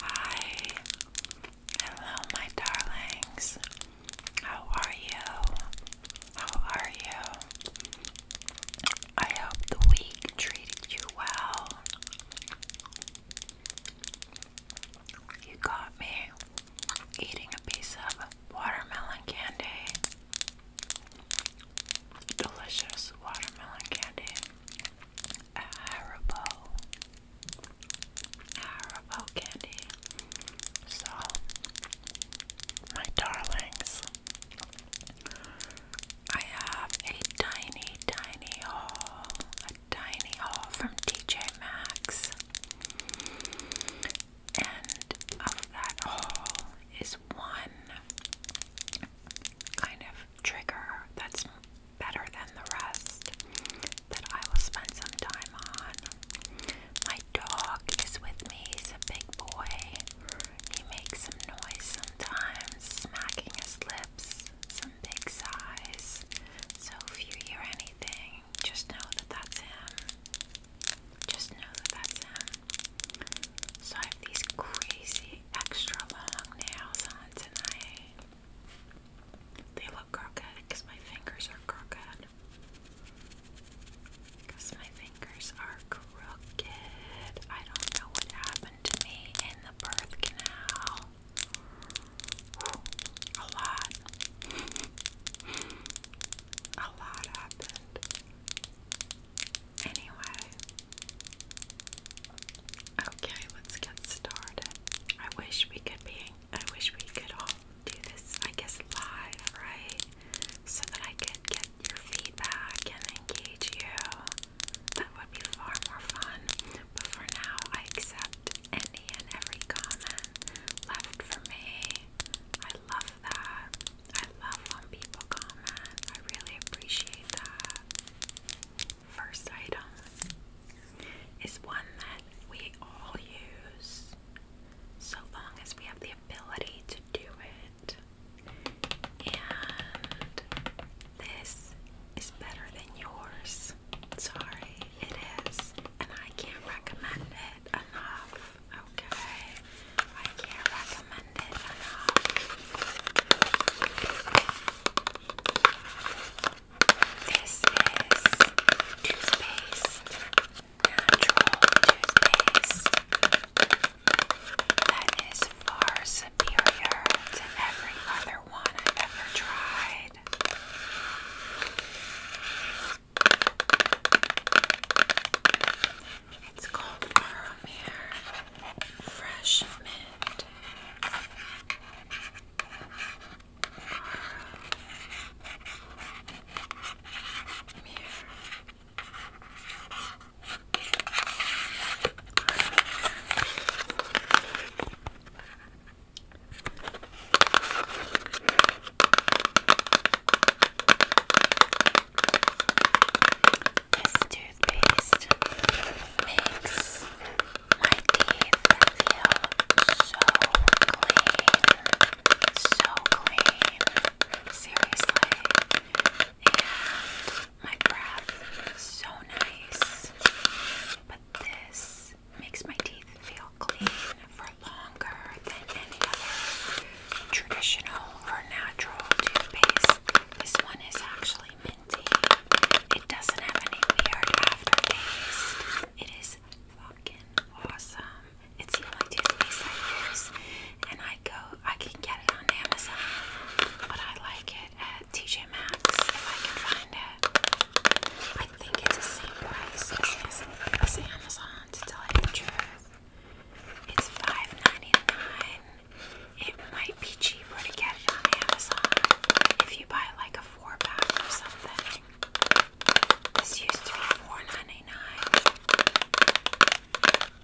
Hi, hello, my darlings. How are you? How are you? I hope the week treated you well. You got me eating a piece of watermelon candy. Delicious watermelon candy. Haribo, Haribo candy. So, my darlings, I have a tiny, tiny haul, a tiny haul from DJ Maxx, and of that haul is one kind of trigger that's better than the rest that I will spend some time on. My dog is with me, he's a big boy. He makes some noise sometimes, smacking his lips, some big sighs. So if you hear anything, just know that that's him. Just know that that's him. So these crazy extra long nails on tonight. They look crooked because my fingers are crooked. Because my fingers are crooked. I don't know what happened to me in the birth canal. a lot. a lot happened. Anyway, okay, let's get started. I wish we could be. I wish we could all do this. I guess live, right? So that I could get your feedback and engage you. That would be far more fun. But for now, I accept any and every comment left for me. I love that. I love when people comment. I really appreciate that first item is one that we all use so long as we have the ability to do it. And this is better than yours. Sorry, it is. And I can't recommend it enough. Okay? I can't recommend it enough. This is toothpaste, natural toothpaste that is far superior to every other one I've ever tried. It's called Warmere Fresh Mint and Arrow Mirror. Let's do toothpaste makes my teeth feel so clean, so clean, seriously, and my breath so nice, but this makes my teeth feel clean for longer than any other traditional or natural toothpaste. This one is actually minty. It doesn't have any weird aftertaste. It is fucking awesome. It's the only toothpaste I use, and I go, I can get it on Amazon, but I like it at TJ Maxx if I can find it. I think it's the same price as, Amazon, to tell you It's 5 it might be cheaper to get it on Amazon if you buy like a four pack or something. This used to be 4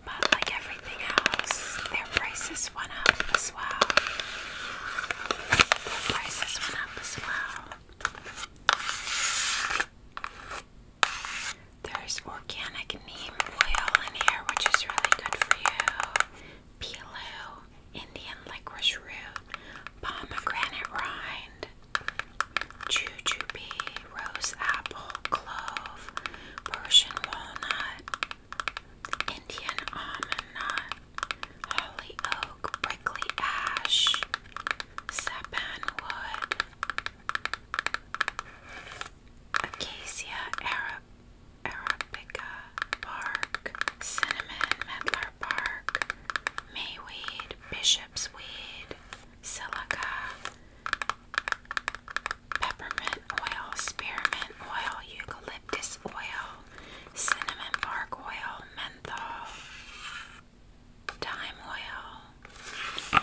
But like everything else, their prices went up as well. Their prices went up as well. There's organic neem oil in here, which is really good for you pilau, Indian licorice root, pomegranate rind, jujube, rose apple, clove, Persian walnut, Indian almond nut, holly oak, prickly ash, sapan wood, acacia arab. Arabica bark, cinnamon, medlar bark, mayweed, bishop's weed, silica, peppermint oil, spearmint oil, eucalyptus oil, cinnamon bark oil, menthol, dime oil.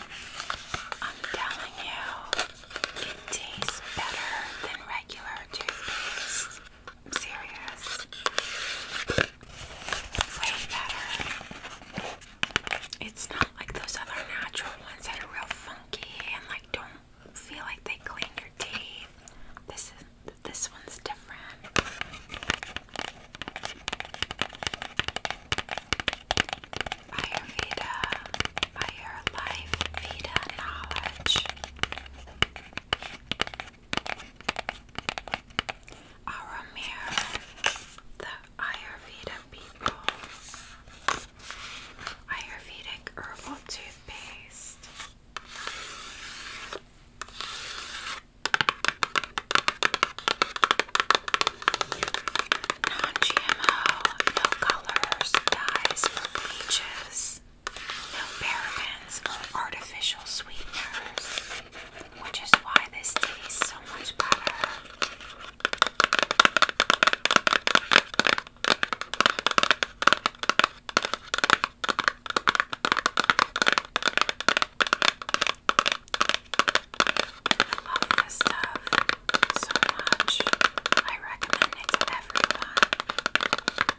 I'm telling you, it tastes better than regular toothpaste. serious. Way better. It's not like those other natural ones that are real funky and like don't feel like they clean your teeth. This is this one's different. Ayurveda, Ayur Life, Vita Knowledge. Our mirror, the Ayurveda people, Ayurvedic herbal toothpaste. Non GMO, no colors, dyes, bleaches. No parabens or artificial sweeteners, which is why this tastes so much better. I love this stuff so much. I recommend it to everyone.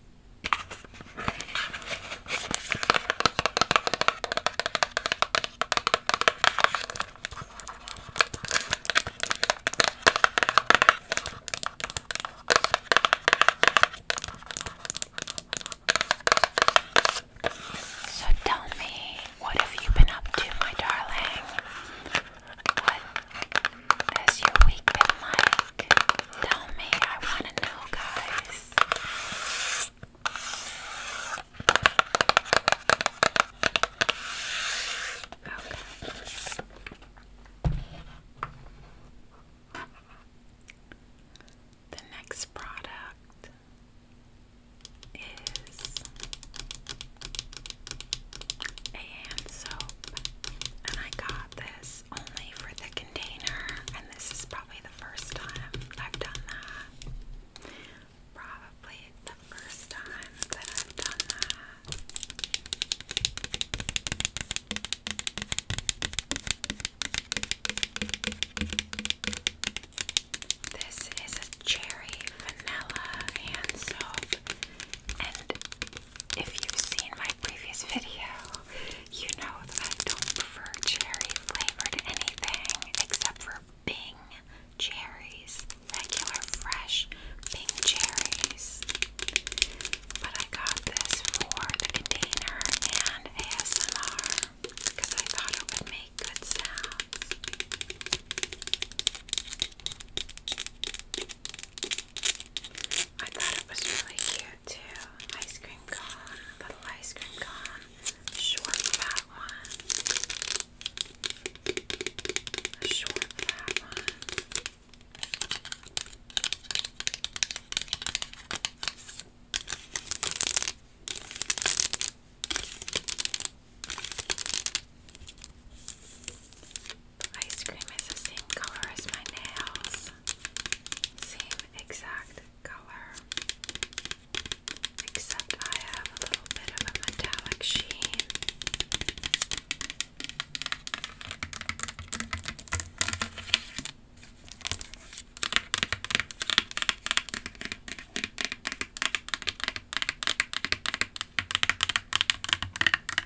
So tell me, what have you been up to, my darling? What has your week Tell me, I wanna know, guys. Okay. The next product is a hand soap, and I got this only for the container, and this is probably the first time I've done that. Probably the first time that I've done that. This is a cherry vanilla hand soap, and if you've seen my previous video, you know that I don't prefer cherry flavored anything except for Bing cherries, regular fresh Bing cherries. But I got this for the container and ASMR because I thought it would make good sounds. I thought it was really cute too. Ice cream cone, little ice cream cone, short fat one, short fat one. Ice cream is the same color as my nails. Same exact color. Except I have a little bit of a metallic sheen.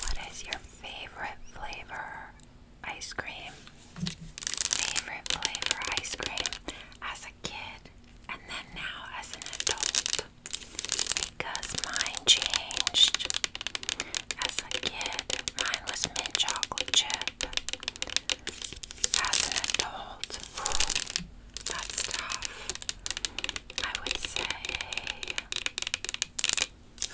What is your favorite flavor ice cream? Favorite flavor ice cream? kid and then now as an adult because mine changed. As a kid, mine was mint chocolate chip. As an adult, whew, that's tough. I would say,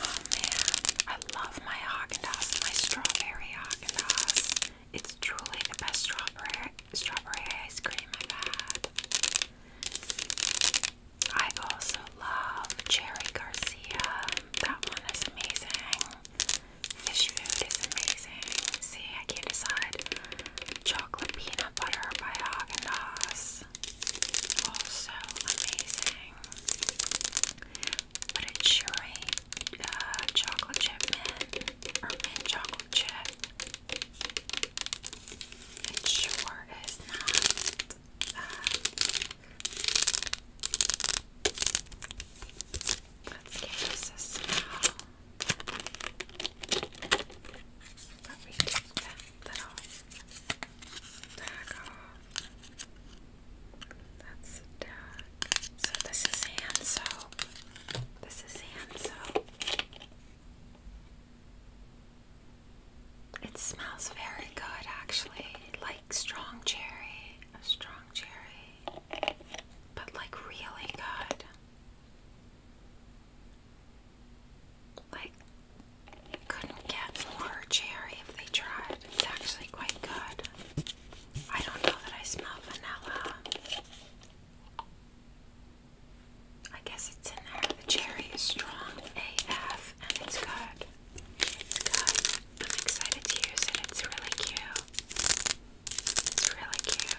oh man, I love my Haagen Dazs, my strawberry Haagen Dazs. It's truly the best strawberry strawberry ice cream I've I also love Cherry Garcia. That one is amazing. Fish food is amazing. See, I can't decide. Chocolate peanut butter by Haagen Dazs. Also amazing. But it's cherry uh, chocolate chip mint or mint chocolate chip. It sure is not. Uh, let's give that little tag off. That's the tag. So this is hand soap. This is hand soap. It smells very good actually, like strong cherry, a strong cherry, but like really good. Like, couldn't get more cherry if they tried. It's actually quite good. I don't know that I smell vanilla. I guess it's in there. The cherry is strong AF and it's good. It's good. I'm excited to use it. It's really cute. It's really cute.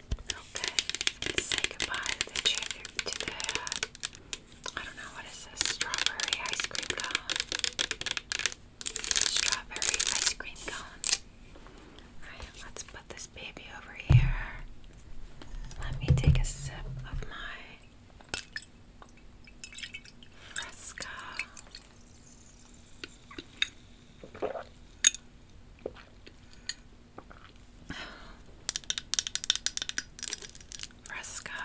Okay, say goodbye to the I don't know what is this strawberry ice cream cone. Strawberry ice cream cone. Alright, let's put this baby over here. Let me take a sip of my Fresca. Fresca.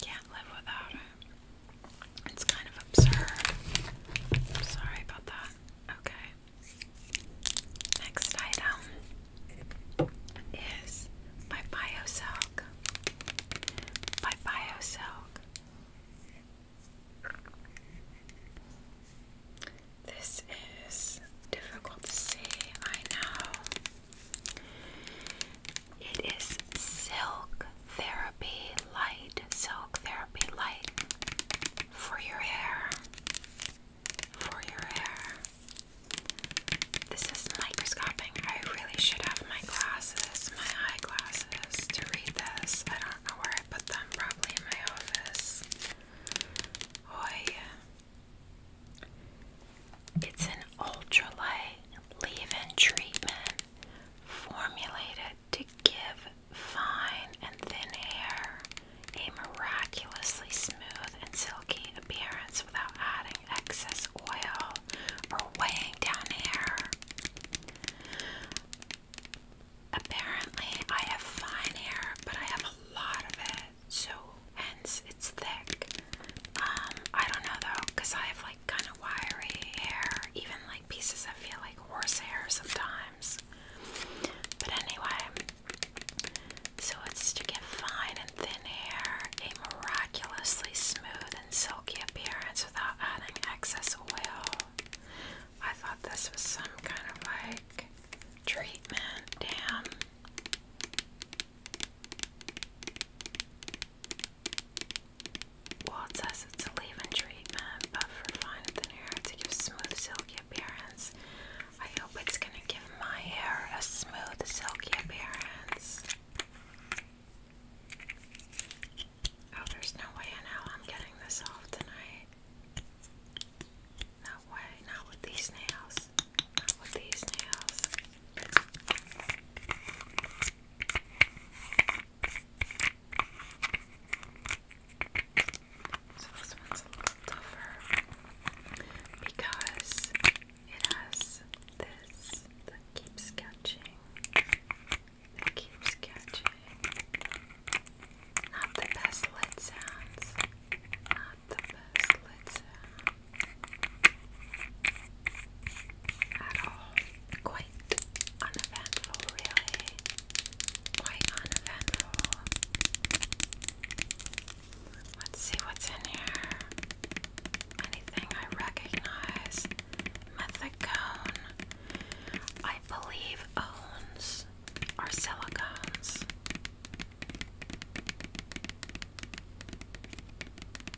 Can't live without it. It's kind of absurd. sorry about that. Okay. Next item is my BioSilk. By BioSilk. This is difficult to see, I know. It is Silk Therapy Light, Silk Therapy Light for your hair. For your hair. This is microscoping. I really should have my glasses, my eyeglasses, to read this. I don't know where I put them, probably in my office. Oy. It's an ultralight leave in treatment formulated to give fine and thin hair a miraculously smooth and silky appearance without adding excess oil or weighing down hair. Apparently, I have fine hair, but I have a lot of it so hence it's thick. Um, I don't know though, because I have like kind of wiry hair, even like pieces that feel like horse sometimes. But anyway, so it's to give fine and thin hair a miraculously smooth and silky appearance without adding excess oil. I thought this was some kind of like treatment. Damn. Well, it says it's a leave-in treatment, but for fine thin hair to give smooth, silky appearance. I hope it's gonna give my hair a smooth, silky appearance. Oh, there's no way in hell I'm getting this off tonight. No way, not with these nails. Not with these nails. So this one's tougher because it has this that keeps catching. That keeps catching. Not the best lid sounds. Quite uneventful, really. Quite uneventful. Let's see what's in here. Anything I recognize. Methicone, I believe, owns our silicones.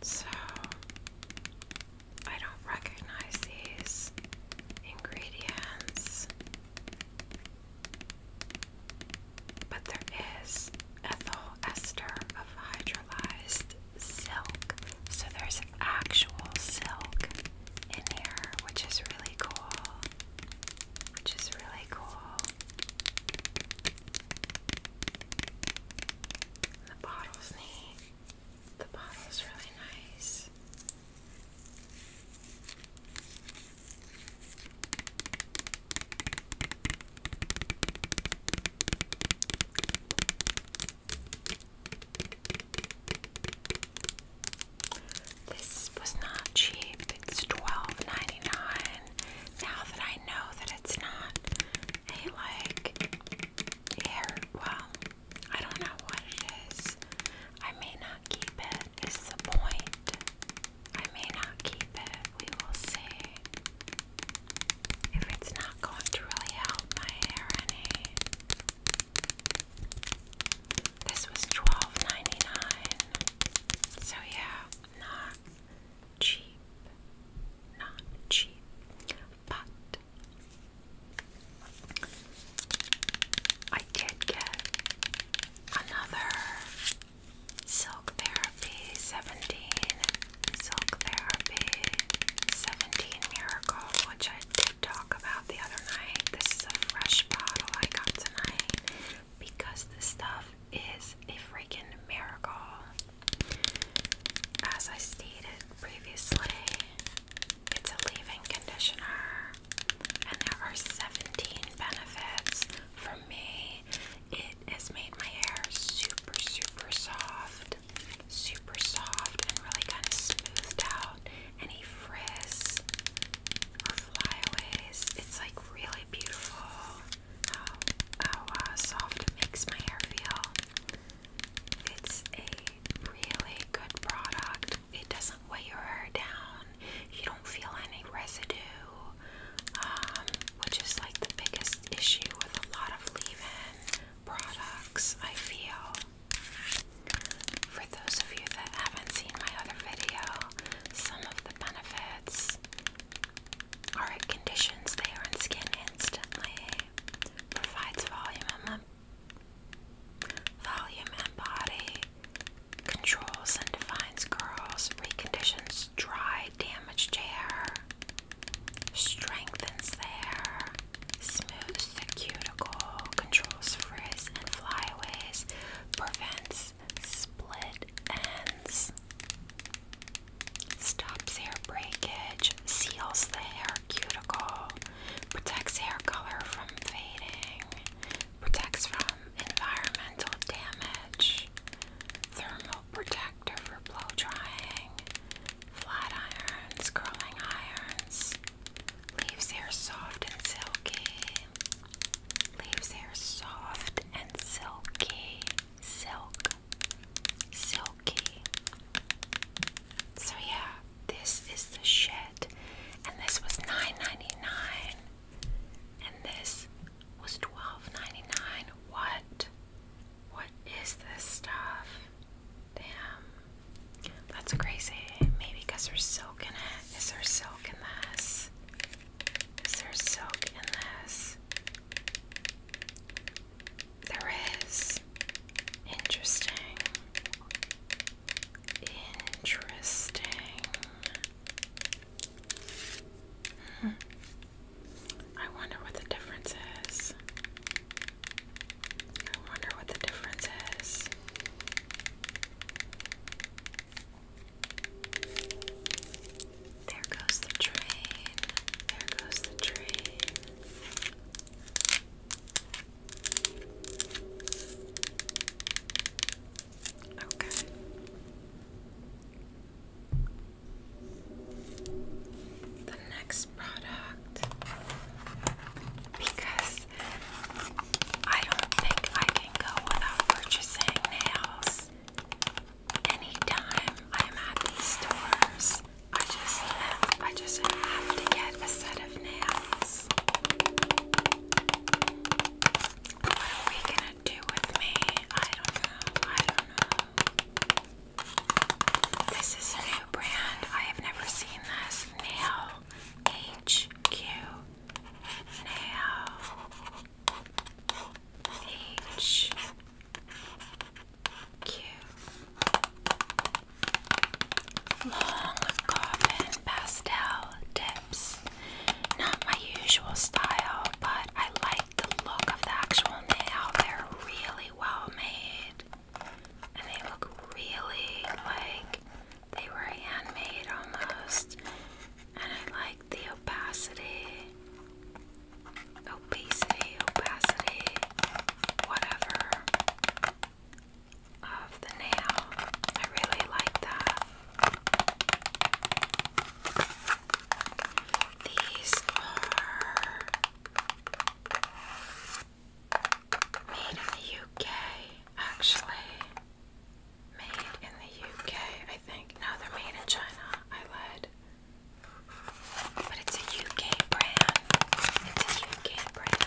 So, I don't recognize these ingredients, but there is ethyl ester of hydrolyzed silk. So, there's actual silk in here, which is really cool. Which is really cool. The bottle's neat. The bottle's really nice. This was not cheap. It's $12.99. Now that I know that it's not a like hair, well, I don't know what it is. I may not keep it, is the point. I may not keep it. We will see. If it's not going to really help my hair any. This was twelve ninety nine, So yeah, not cheap. Not cheap. But I did get another Silk Therapy 17. Silk Therapy 17 Miracle, which I did talk about the other night. This is a fresh bottle I got tonight because this stuff is a freaking miracle. As I stated previously, it's a leave in conditioner, and there are 17 benefits. For me, it has made my hair super, super soft, super soft, and really kind of smoothed out any frizz or flyaways. It's like really how, uh, soft it makes my hair feel. It's a really good product. It doesn't weigh your hair down. You don't feel any residue, um, which is like the biggest issue with a lot of leave-in products, I feel. For those of you that haven't seen my other video, some of the benefits words it conditions the hair and skin instantly, provides volume and, body, controls and defines curls, reconditions dry, damaged hair, strengthens the hair, smooths the cuticle, controls frizz and flyaways, prevents split ends. Stops hair breakage, seals the hair cuticle, protects hair color from fading, protects from environmental damage, thermal protector for blow drying, flat irons, curling irons, leaves hair soft and silky. Leaves hair soft and silky. Silk. Silky. So yeah, this is the shit. And this was nine ninety nine, And this was twelve ninety nine. What? What is this stuff? Damn. That's crazy. Maybe because there's silk in it. Is there silk in this? Is there silk in this? There is. Interesting. Interesting. Hmm. I wonder what the difference is. I wonder what the difference is. There goes the train. There goes the train. Okay. The next product, because I don't think I can go without purchasing nails anytime I'm at these stores, I just have, I just have to get a set of nails. What are we gonna do with me? I don't know. I don't know. This is a new brand. I have never seen this nail HQ nail. H Q Long coffin pastel tips. Not my usual style, but I like the look of the actual nail. They're really well made. And they look really like they were handmade almost. And I like the opacity, opacity, opacity, whatever of the nail. I really like that. These are made in the UK, actually made in the UK, I think. No, they're made in China. I lied. But it's a UK brand. It's a UK brand.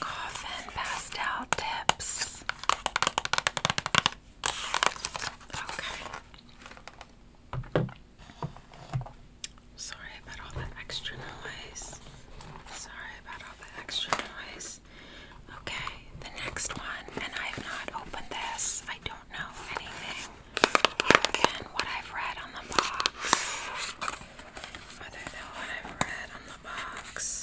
Coffin pastel tips. Okay. Sorry about all that extra noise. Sorry about all the extra noise. Okay, the next one, and I have not opened this. I do don't know anything other than what I've read on the box. Other than what I've read on the box.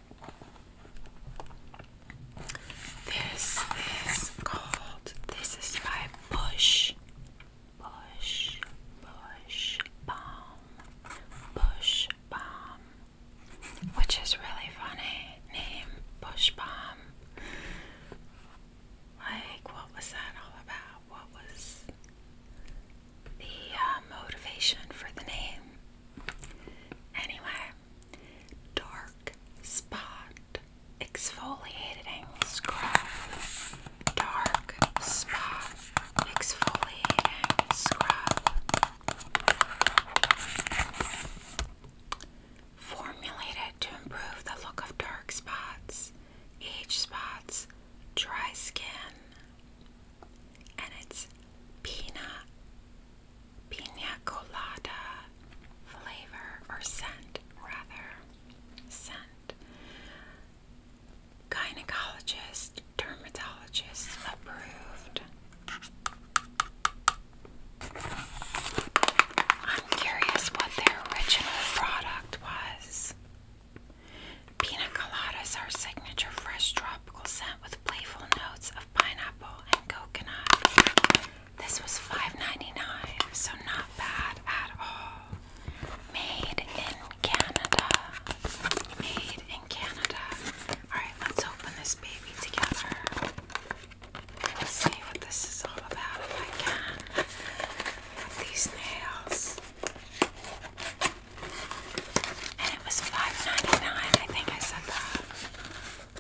This is called, this is by Bush, Bush, Bush Balm, Bush Balm, which is really funny name, Bush Balm. Like, what was that all about? What was the uh, motivation for the name? Anyway, dark spot exfoliated scrub. Dark spot exfoliating scrub. Formulated to improve the look of dark spots, age spots, dry skin, and it's peanut pina colada flavor or scent, rather. Scent. Gynecologist, dermatologist approved. I'm curious what their original product was. Pina coladas our signature fresh tropical scent with playful notes of pineapple and coconut. This was $5.99, so not bad at all. Made in Canada. Made in Canada. Alright, let's open this baby together. see what this is all about these nails. And it was $5.99, I think I said that.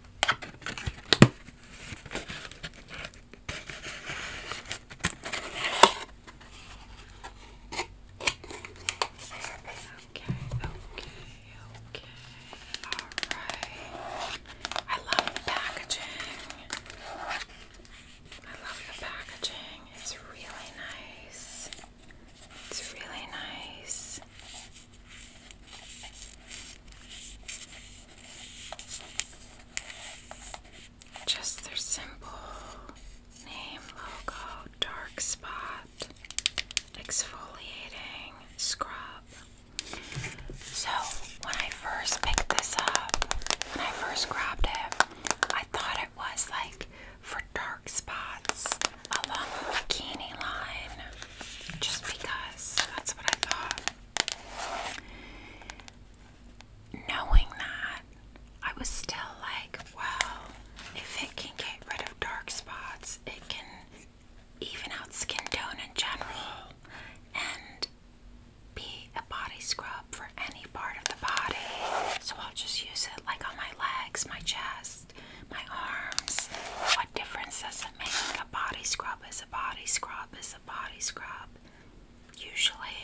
Okay, okay, okay. Alright. I love the packaging. I love the packaging. It's really nice. It's really nice. Just their simple name, logo, dark spot, exfoliating scrub. So, when I first picked this up, when I first grabbed it, I thought it was like for dark spots along the um, bikini line just because that's what I thought. Knowing that, I was still like, well, if it can get rid of dark spots, it can even out skin tone in general and be a body scrub for any part of the body. So I'll just use it like on my legs, my chest my arms. What difference does it make? A body scrub is a body scrub is a body scrub, usually.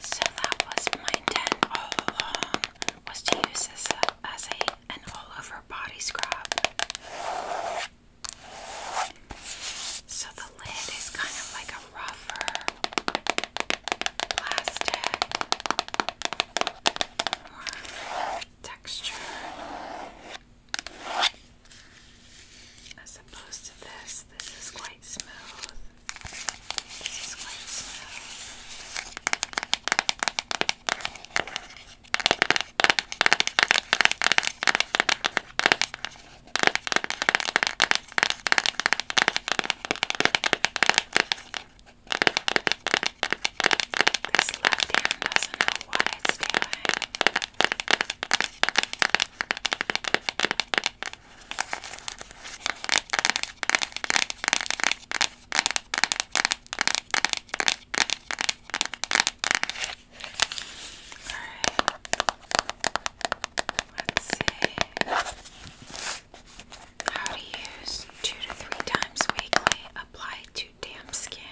So that was my intent all along, was to use this as a an all-over body scrub. So the lid is kind of like a rougher plastic, texture as opposed to this. This is quite smooth. This is quite smooth. This left hand doesn't know what it's doing. Alright, let's see. How to use two to three times weekly. Apply to damp skin,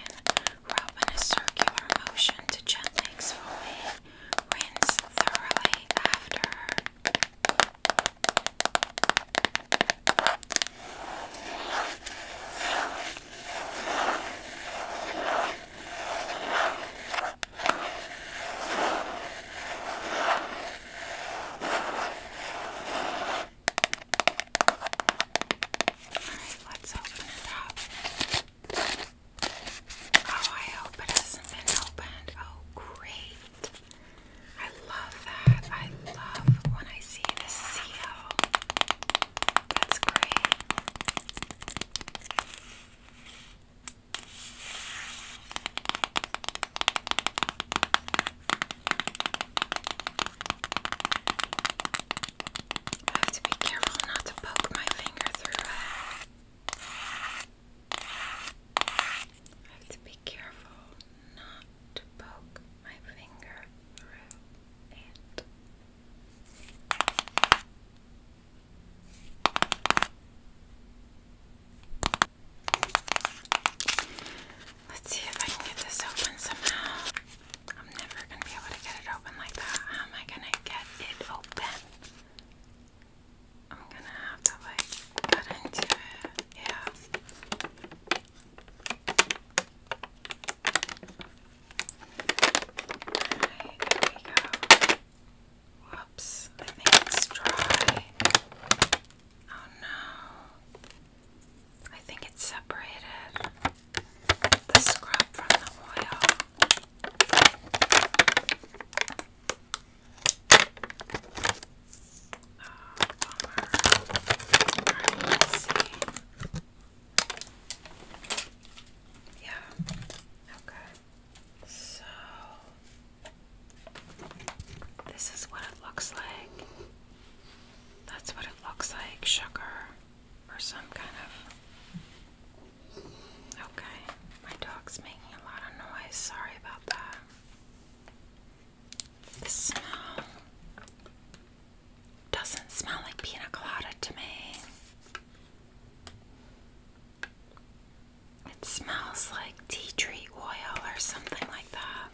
rub in a circular motion to gently exfoliate. Rinse thoroughly after. Alright, let's open it up. Oh, I hope it hasn't been opened. Oh, great. I love that. I love when I see the seal. That's great. I have to be careful not to poke my finger through it. I have to be careful not to poke my finger through it. Let's see if I can get this open somehow. I'm never gonna be able to get it open like that. How am I gonna get it open? I'm gonna have to like cut into it. Yeah. there we go. Whoops, I think dry. Oh no. I think it separated the scrub from the oil. Oh, bummer. Alright, let's see. Yeah, okay. So, this is what it looks like. That's what it looks like, sugar or some kind of. Okay, my dog's making a lot of noise. Sorry about that. The smell doesn't smell like pina colada to me. It smells like tea tree oil or something like that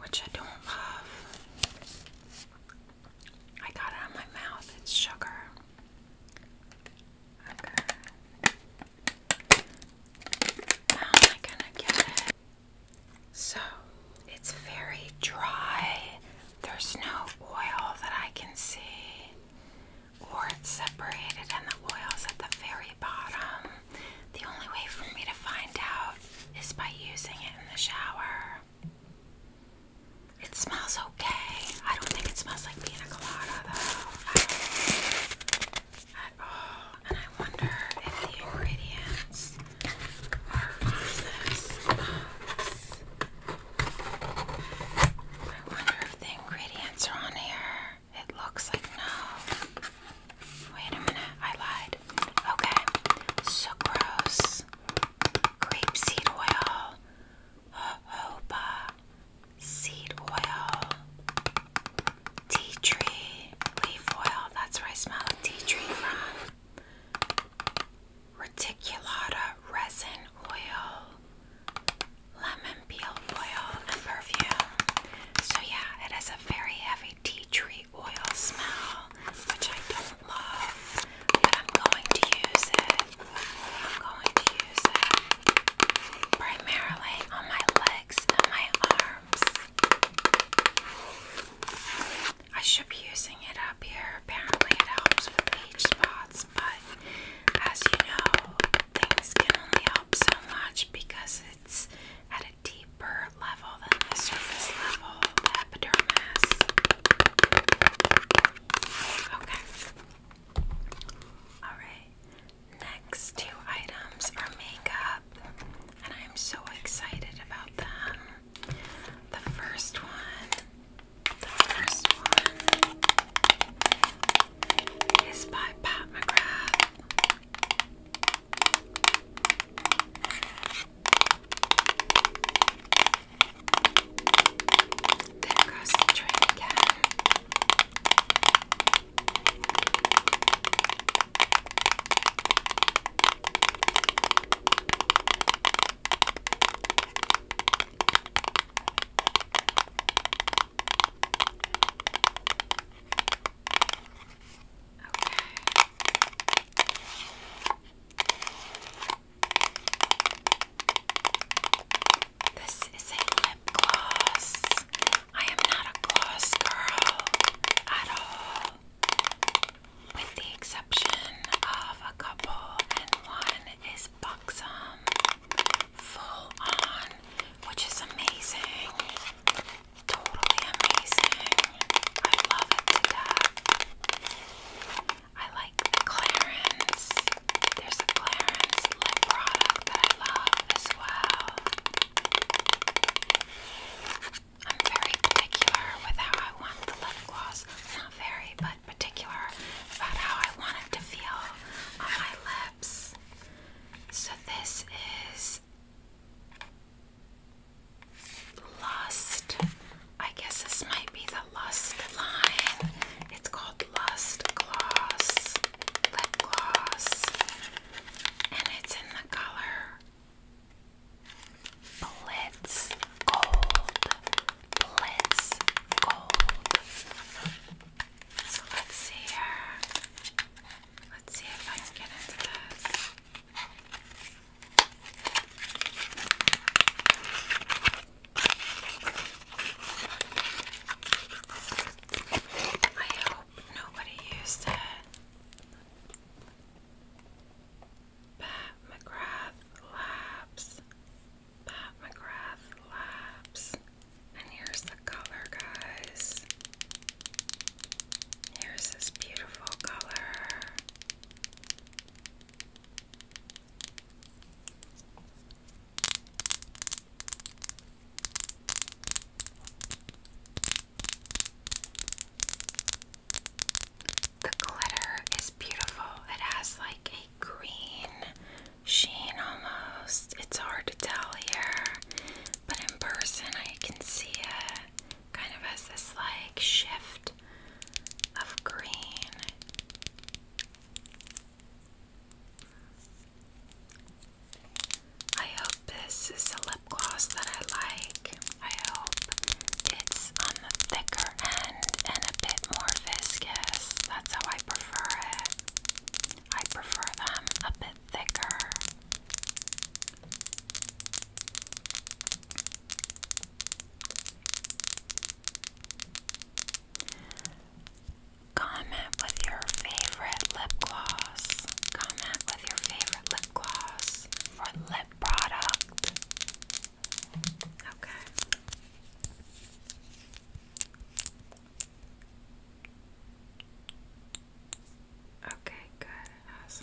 which I don't love. I got it on my mouth, it's sugar. Okay. How am I gonna get it? So, it's very dry. There's no oil that I can see, or it's separated, and the oil's at the very bottom. The only way for me to find out is by using it in the shower. It smells okay. I don't think it smells like pina colada though. At all. And I wonder if the ingredients are on I wonder if the ingredients are on here. It looks like no. Wait a minute, I lied. Okay, sucrose, grapeseed oil, jojoba, seed oil, tea tree, leaf oil. That's where I smell tea tree from. Reticulata resin oil, lemon peel oil, and perfume. So, yeah, it has a very heavy tea tree oil smell, which I don't love, but I'm going to use it. I'm going to use it primarily on my legs and my arms. I should be using it up here. Apparently, it helps with age spots, but as you know, things can only help so much because it's at a deeper level than the surface level, the epidermis. Okay. Alright. Next two items are makeup, and I am so excited about them. The first one, the first one is by Pat McGrath. Then across the train again. This is a lip gloss. I am not a gloss girl at all. With the exception of a couple, and one is buxom, full on, which is amazing totally amazing. I love it to death. I like Clarins. There's a Clarins lip product that I love as well. I'm very particular with how I want the lip gloss. Not very, but particular about how I want it to feel on my lips. So this is Lust. I guess this might be the Lust line. It's called Lust Gloss. Lip gloss. And it's in the color Blitz Gold. Blitz Gold. So let's see here. Let's see if I can get into this. I hope nobody used it. Pat McGrath Labs. Pat McGrath Labs. And here's the color, guys. Here's this beautiful color. The glitter is beautiful. It has like a green sheen almost. It's hard to tell here, but in person I can see it kind of has this like shift of green. I hope this is a lip gloss that I like. I hope it's on um, the thicker end and a bit more viscous. That's how I prefer it. I prefer them a bit thicker. Comment with your favorite lip gloss. Comment with your favorite lip gloss or lip product. Okay. Okay, good. It has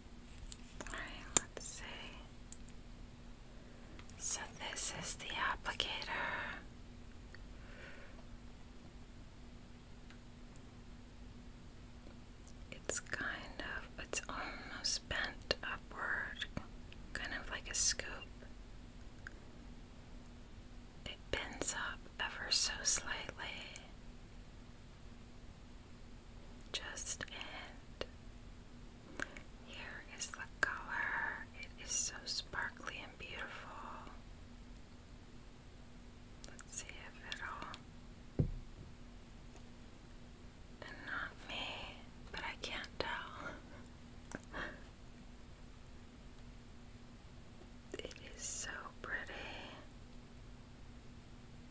Alright, let's see. So, this is the applicator. It's kind of, it's almost bent upward, kind of like a scoop. It bends up ever so slightly. Just and here is the color. It is so sparkly and beautiful. Let's see if it'll. And not me, but I can't tell. it is so pretty.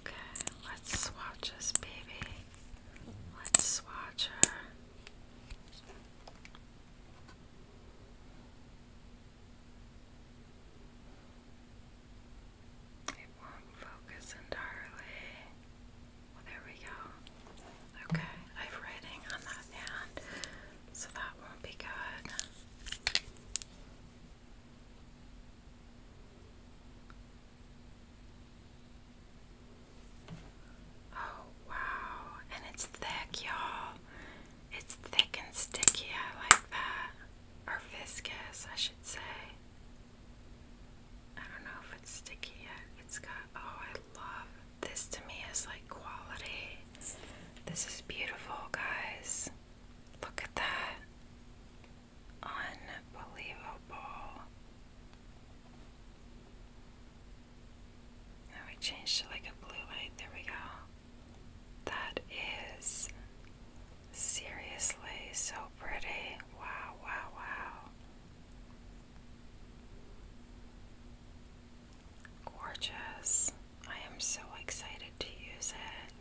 Okay, let's swatch this baby. Let's swatch her. It won't focus entirely. there we go. Okay, I have writing on that hand, so that won't be good. Oh, wow. And it's thick, y'all. It's thick and sticky. I like that. Or I should say. I don't know if it's sticky yet. It's got, oh, I love this. To me, is like quality. This is beautiful, guys. Look at that. Unbelievable. Now we changed to like a blue light. There we go. That is Seriously, so pretty. Wow, wow, wow. Gorgeous. I am so excited to use it.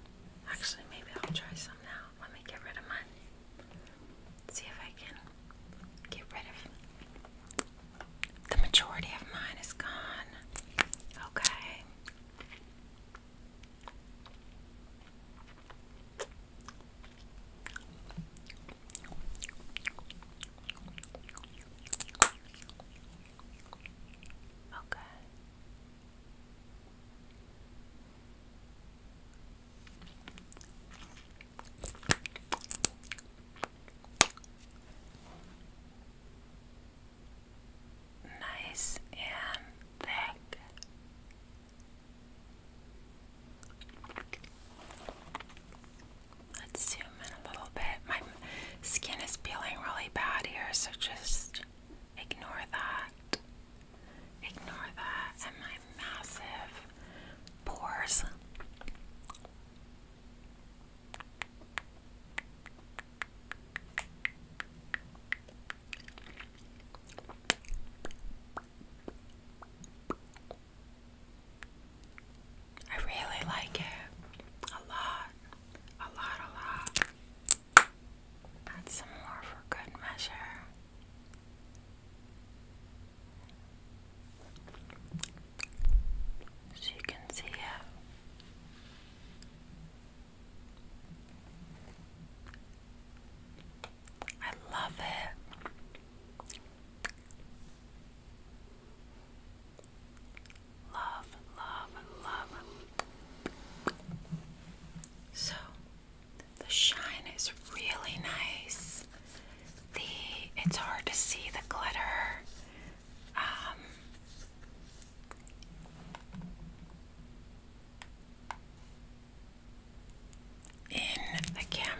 Actually, maybe I'll try some now. Let me get rid of mine. See if I can get rid of the majority of mine is gone. Okay. Okay. Nice and thick. Let's zoom in a little bit. My skin is peeling really bad here, so just ignore that. Ignore that and my massive pores. I really like it a lot, a lot, a lot. Add some more for good measure. So you can see it. I love it. Love, love, love. So, the shine is really nice. The it's hard to see the glitter. Um, in the camera.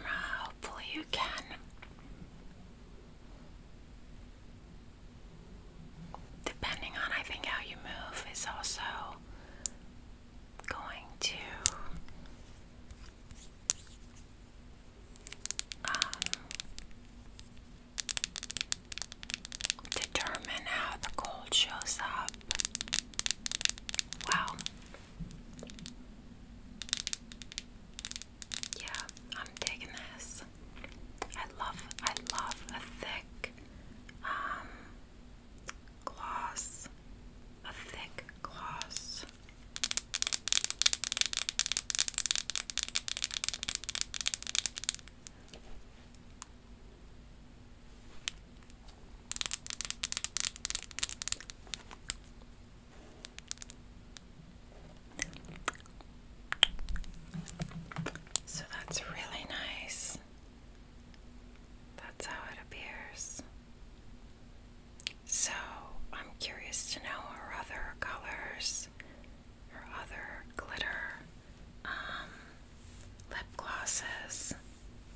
Hopefully, you can. Depending on, I think, how you move, is also going to um, determine how the cold shows up up. Wow. Yeah, I'm digging this. I love, I love a thick um, gloss, a thick gloss. So that's really nice. That's how it appears. So I'm curious to know her other colors, her other glitter. Um, lip glosses.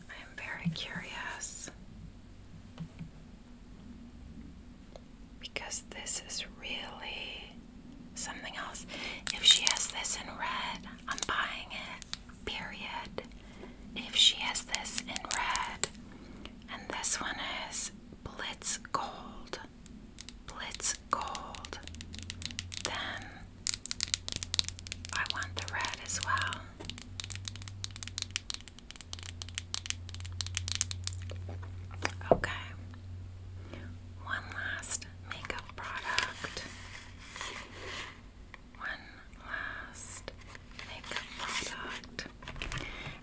I am very curious because this is really something else. If she has this in red, I'm buying it. Period. If she has this in red, and this one is Blitz Gold, Blitz Gold, then I want the red as well. Okay. One last makeup product. One last makeup product.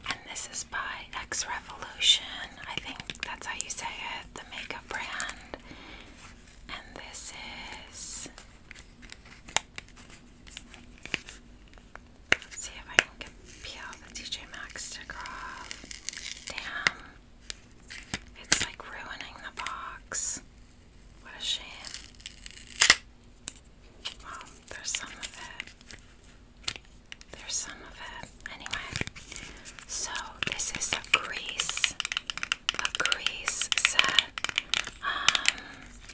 And this is by X Revolution. I think that's how you say it, the makeup brand. And this is Let's see if I can peel the DJ Maxx sticker off. Damn. It's like ruining the box. What a shame. Well, there's some of it. There's some of it. Anyway, so this is a grease, a grease set. Um,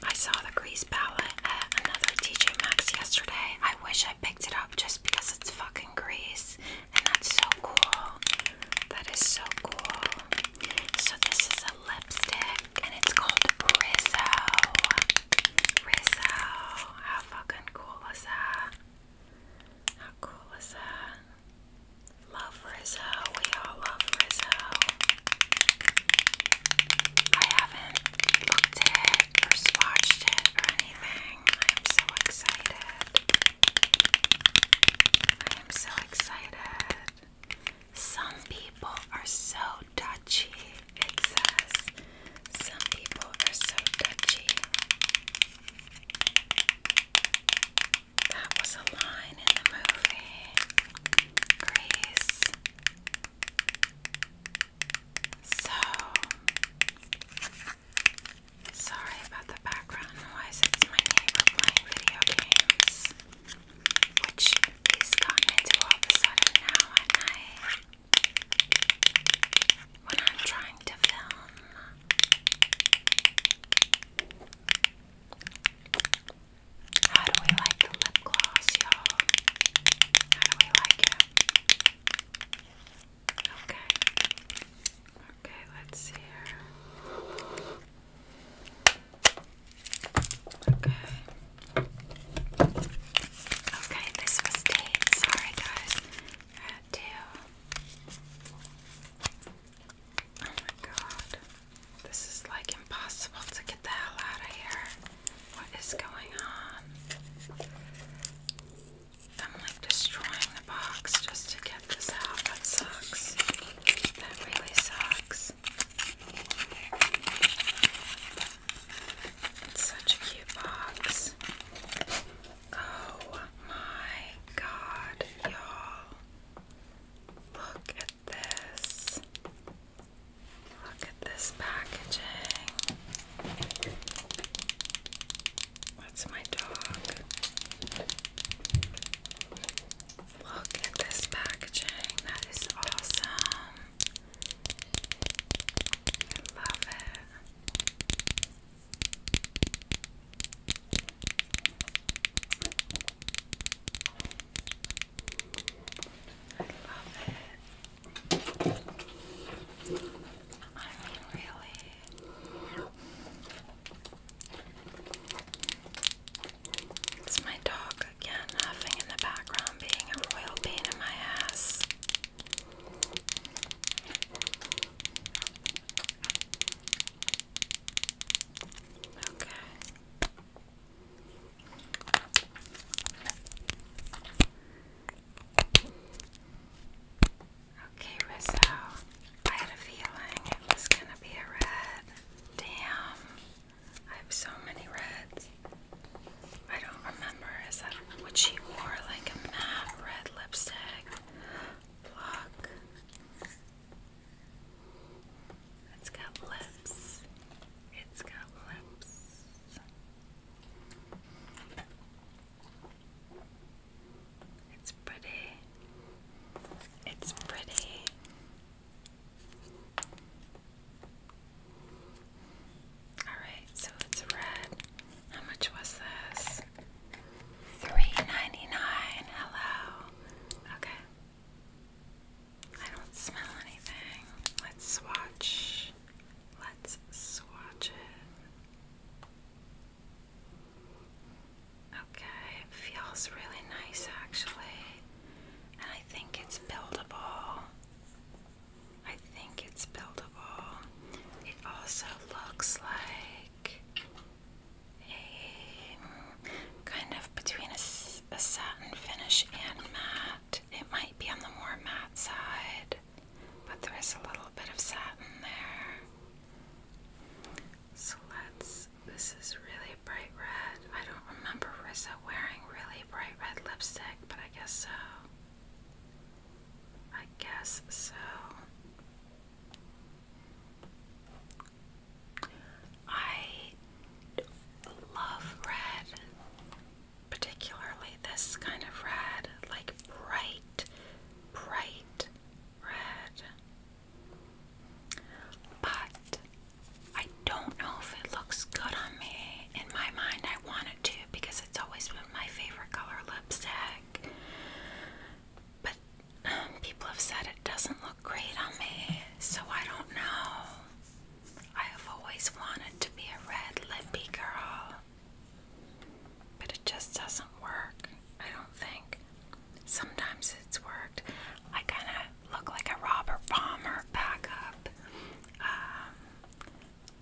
I saw the Grease palette at another TJ Max yesterday. I wish I picked it up just because it's fucking Grease, and that's so cool. That is so cool. So this is a lipstick, and it's called Rizzo. Rizzo. How fucking cool is that? How cool is that? Love Rizzo, we all love Rizzo. I haven't looked it or swatched it or anything. I am so excited. I am so excited. Some people are so touchy, it says. Some people are so touchy. That was a line in the movie. Grace. So sorry about the background noise. It's my neighbor playing video games, which he's gotten into all of a sudden now at night when I'm trying to film. How do we like the lip gloss, y'all? How do we like it? Okay. Okay, let's see here. Okay. Okay, this was date. Sorry, guys. had to. Oh my god. This is like impossible to get the hell out of here. What is going on? I'm like destroying the box just to get this out. That sucks. That really sucks. such a cute box. Oh my god, y'all. Look at this. Look at this packaging. That's my dog. Look at this packaging. That is awesome. I love it. I love it. I really. It's my dog again huffing in the background, being a royal pain in my ass. Okay. Okay, Rizzo. I had a feeling it was gonna be a red. Damn. I have so many reds. I don't remember. Is that what she wore? Like a matte red lipstick? Look. It's got lips. It's got lips. It's pretty. It's pretty. Alright, so it's red. How much was this? Three ninety nine. Hello. Okay. I don't smell anything. Let's swatch. Let's swatch it. Okay, it feels really nice actually. And I think it's buildable. I think it's buildable. It also looks like a kind of between a, a satin finish and matte. It might be on the more matte side, but there is a little bit of satin there. So let's. This is really bright red. I don't remember Rissa wearing really bright red lipstick, but I guess so. I guess so. I love red, particularly this kind of red, like bright, bright red. But I don't know if it looks good on me. In my mind, I want it to because it's always been my favorite color lipstick. But people have said it doesn't look great on me, so I don't know. I have always wanted to be a red lippy girl, but it just doesn't work, I don't think. Sometimes it's worked. I kind of look like a Robert Palmer backup um,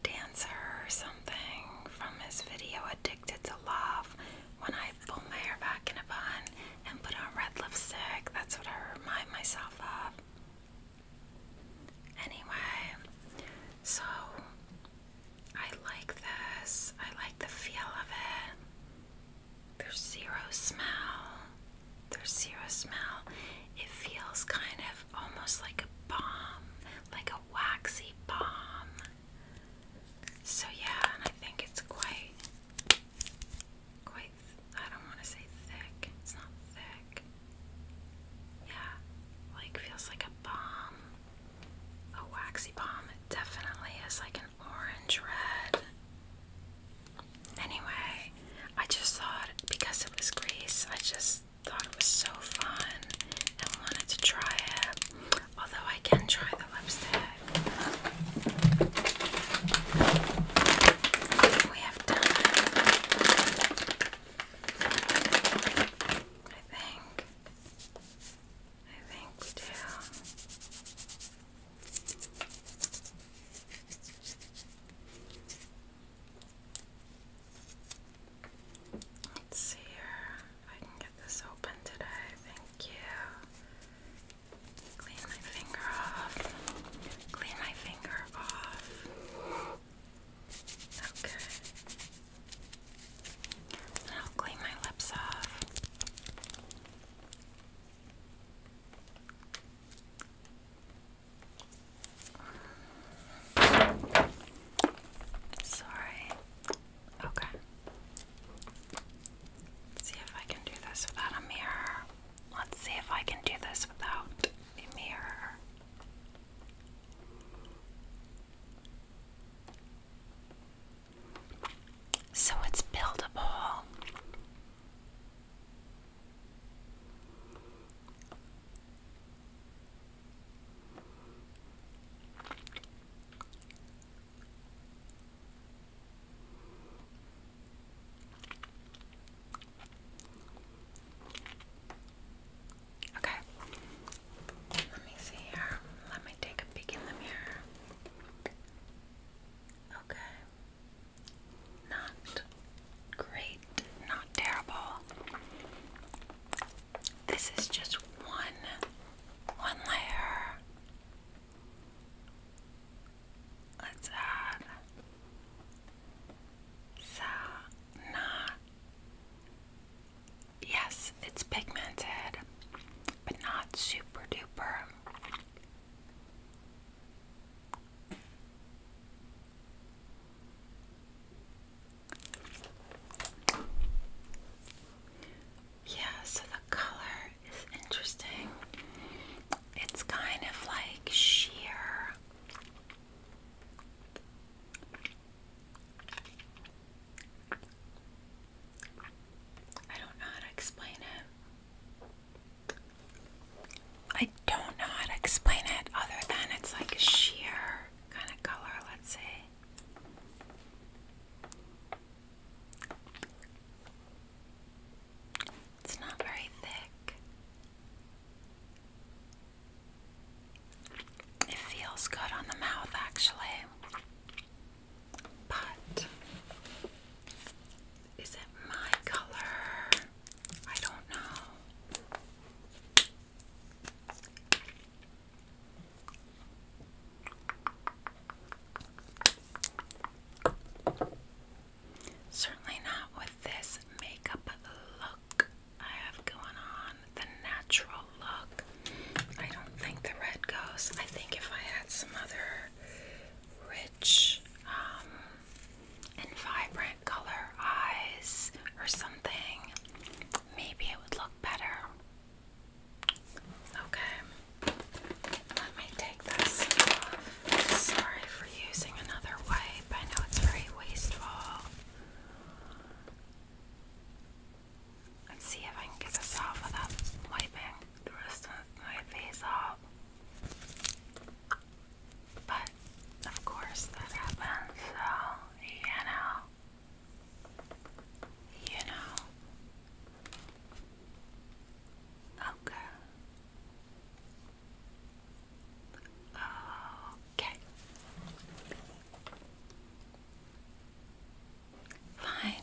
dancer or something from his video Addicted to Love when I pull my hair back in a bun and put on red lipstick. That's what I remind myself of. Anyway, so I like this. I like the feel of it. There's zero smell. There's zero smell. It feels kind of almost like a balm, like a waxy balm. So, yeah, and I think it's quite quite, I don't want to say thick, it's not thick. Yeah, like feels like a balm, a waxy balm. It definitely is like an orange red. Anyway, I just thought because it was Greece, I just thought it was so fun and wanted to try it. Although I can try the lipstick. We have done, I think. I think we do. Let's see here. I can get this open today. Thank you. Clean my finger off. Clean my finger off. Okay. Now clean my lips off. Sorry. Okay. see if I can do this without a mirror. Let's see if I can do this without a mirror. So it's buildable. Okay. Let me see here. Let me take a peek in the mirror. Okay. Not great, not terrible. This is just one one layer. Let's add not. Yes, it's pigmented, but not super duper. Yeah, so the color it's interesting. It's kind of like sheer. I don't know how to explain it. I don't know how to explain it other than it's like a sheer kind of color, let's see. It's not very thick. It feels good on the mouth actually. But is it my color? I don't know. Certainly not with this makeup look I have going on, the natural look. I don't think the red goes. I think if I had some other rich um, and vibrant color eyes or something, maybe it would look better. Okay. Let me take this off. Sorry for using another wipe. I know it's very wasteful. Let's see if I can get this off without wiping the rest of my face off. But of course that happens, so you know. You know. Okay. Okay. Fine.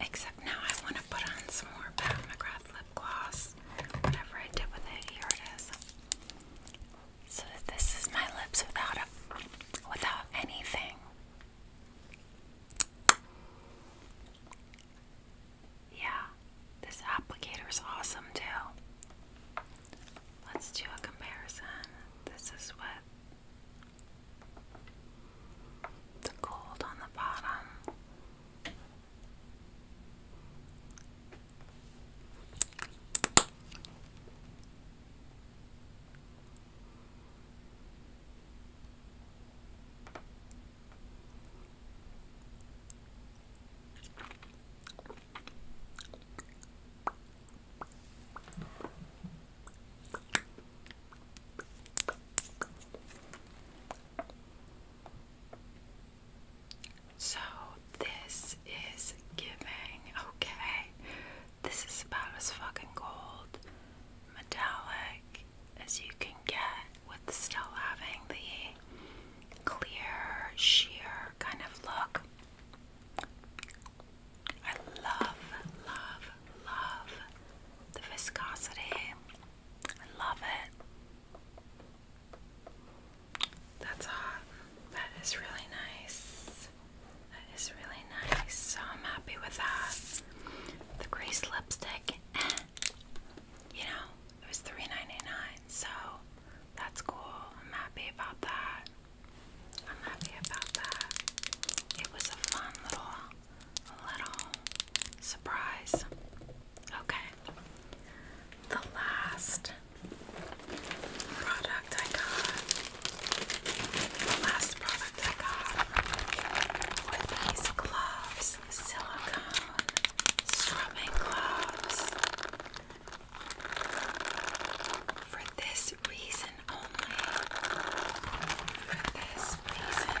Except now I want to put on some more Pat McGrath lip gloss. Whatever I did with it, here it is. So this is my lips without a without anything. Yeah, this applicator is awesome too. Let's do a comparison. This is what the gold on the bottom. So, this is giving, okay, this is about as fucking gold, metallic, as you can get with still having the clear, sheer kind of look. I love, love, love the viscosity. I love it. That's hot. That is really nice. That is really nice. So I'm happy with that. The grease lipstick, eh. you know, it was three ninety nine, so that's cool. I'm happy about that. I'm happy about that. It was a fun little little surprise. Okay. The last product I got. last product I got these gloves. Silicone strumming gloves. For this reason only. For this reason only.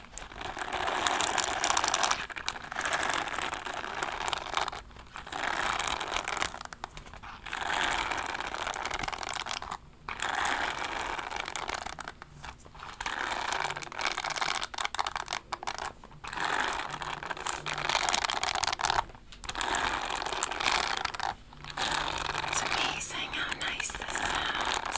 It's amazing how nice this sounds.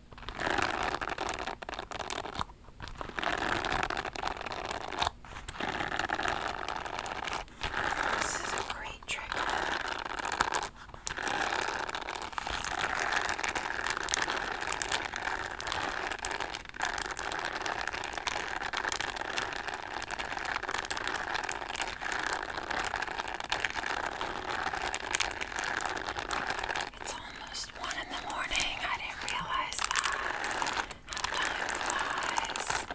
This is a great trick. It's almost one in the morning. I didn't realize that. How time flies.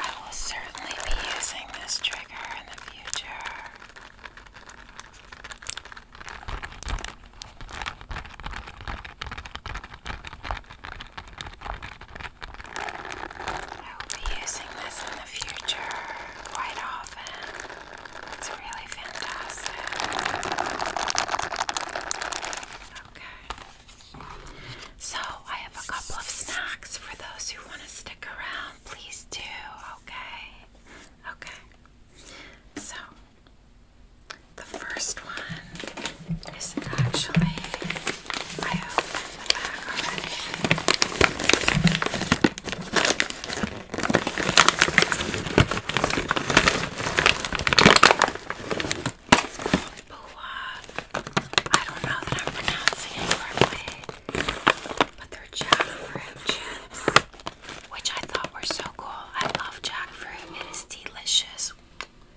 I will certainly be using this trigger in the future. I will be using this in the future quite often. It's really fantastic. Okay. So, I have a couple of snacks for those who want to stick around. Please do, okay? Okay. So, the first one is actually I opened the bag already. It's called Boa. I don't know that I'm pronouncing it correctly, but they're jackfruit chips, which I thought were so cool. I love jackfruit. It is delicious.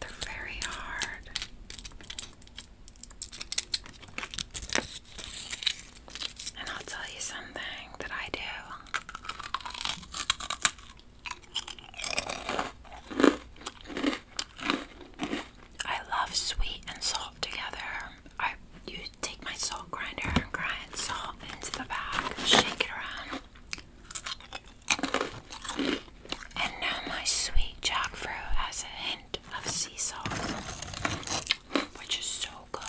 They're very hard. And I'll tell you something that I do. I love sweet and salt together. I you take my salt grinder and grind salt into the bag, shake it around. And now my sweet jackfruit has a hint of sea salt, which is so good.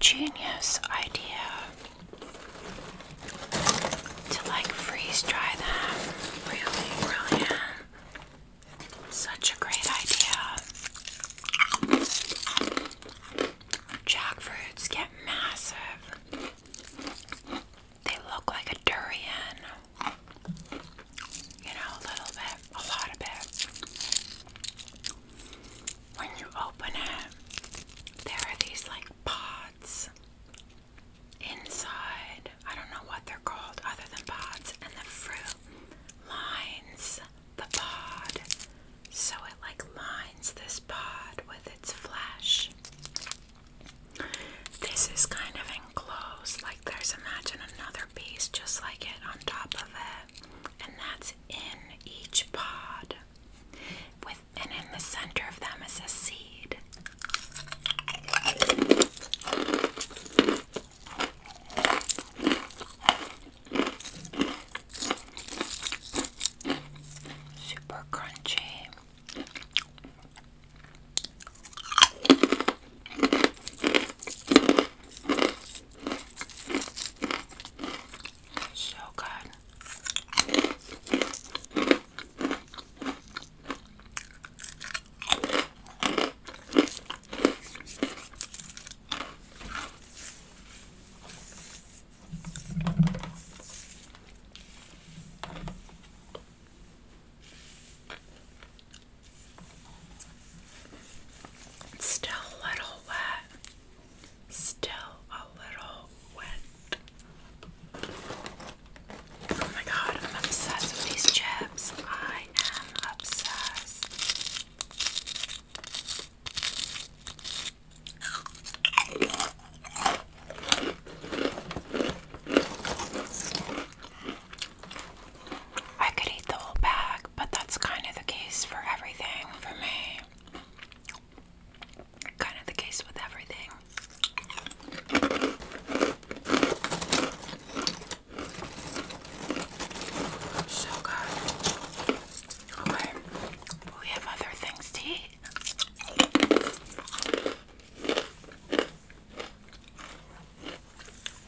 Genius idea to like freeze dry them. Really brilliant. Such a great idea. Jackfruits get massive. They look like a durian. You know, a little bit, a lot of it. When you open it, there are these like pods inside. I don't know what they're called other than pods, and the fruit lines the pod. So it like lines this pod with its flesh. This is kind of enclosed, like there's imagine another piece just like it on top of it, and that's in each pod. With and in the center of them is a seed. Super crunchy. So good. It's still a little wet. Still a little wet. Oh my god, I'm obsessed with these chips. I am obsessed. I could eat the whole bag, but that's kind of the case for everything for me. Kind of the case with everything. So good. Okay, we have other things to eat.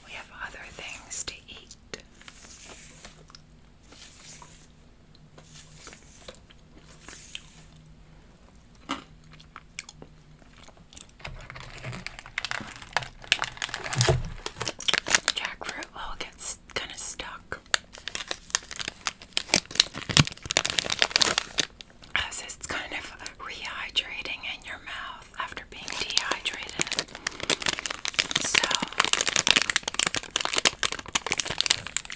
We have other things to eat jackfruit will get kind of stuck. As it's kind of rehydrating in your mouth after being dehydrated. So,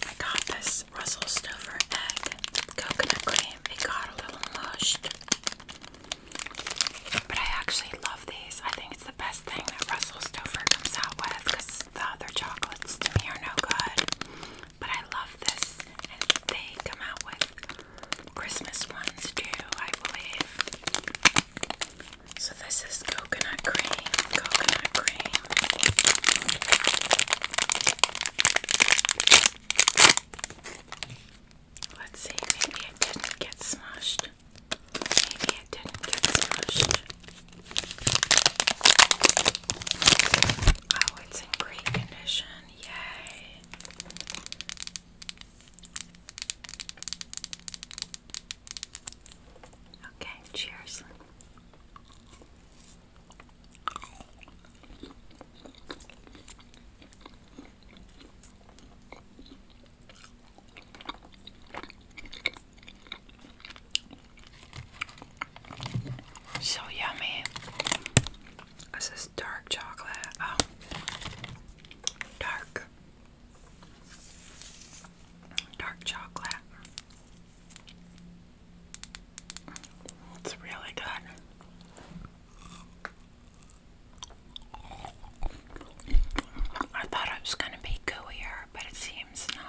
I got this Russell Stover egg coconut cream. It got a little mushed. But I actually love these. I think it's the best thing that Russell Stover comes out with because the other chocolates to me are no good. But I love this, and they come out with Christmas ones too, I believe. So this is coconut cream, coconut cream. Let's see, maybe it didn't get smashed. Maybe it didn't get smushed. Oh, it's in great condition. Yay. Okay, cheers. So yummy. This is dark chocolate. Oh, dark, dark chocolate. It's really good. I thought it was going to be gooier, but it seems not.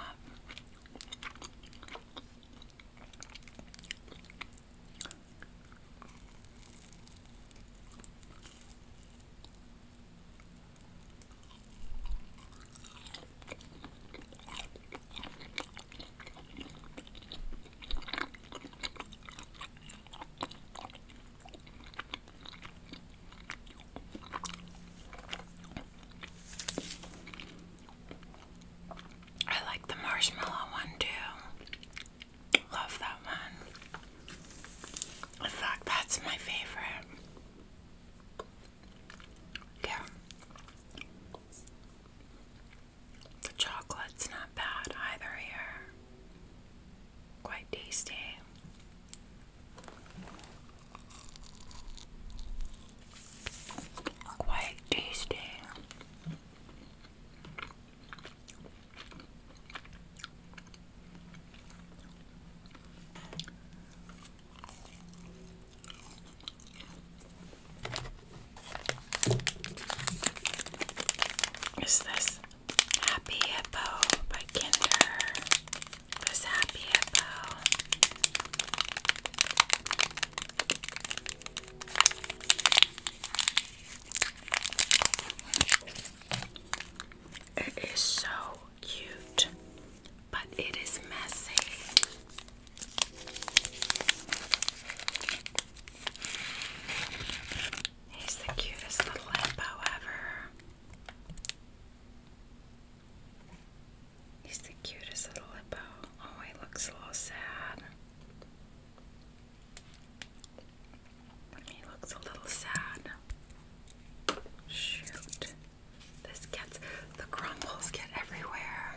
I like the marshmallow one too. Love that one. In that's my favorite. Yeah. The chocolate's not bad either here quite tasty. Quite tasty. Is this Happy Hippo by Kinder. This Happy Hippo. It is so cute, but it is messy. He's the cutest little hippo ever. He's the cutest little hippo. Oh, he looks a little sad. He looks a little sad. Shoot. This gets the crumbles get everywhere.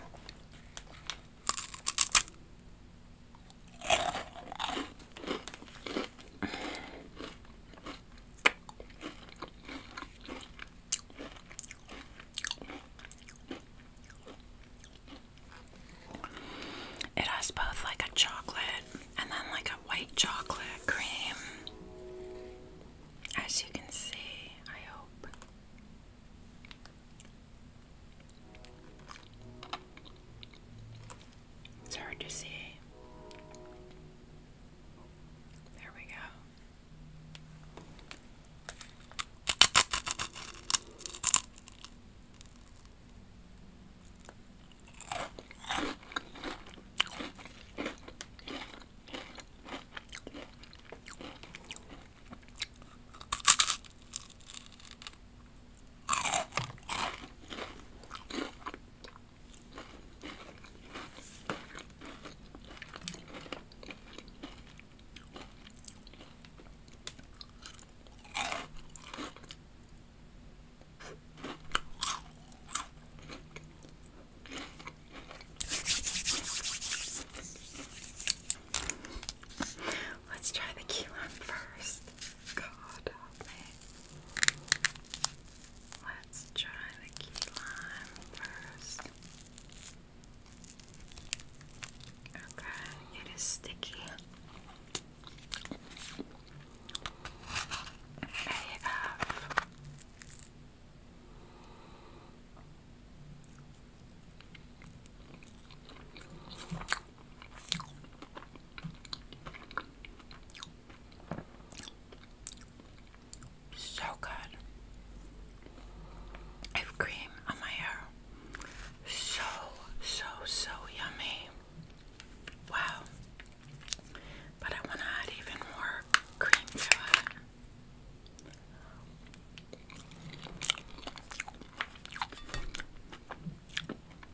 It has both like a chocolate and then like a white chocolate cream. As you can see, I hope. It's hard to see. There we go. Let's try the key lime first. God help me. Let's try the key lime first. Okay, it is sticky. AF. So good. I have cream on my hair. So, so, so yummy. Wow. But I want to add even more cream to it.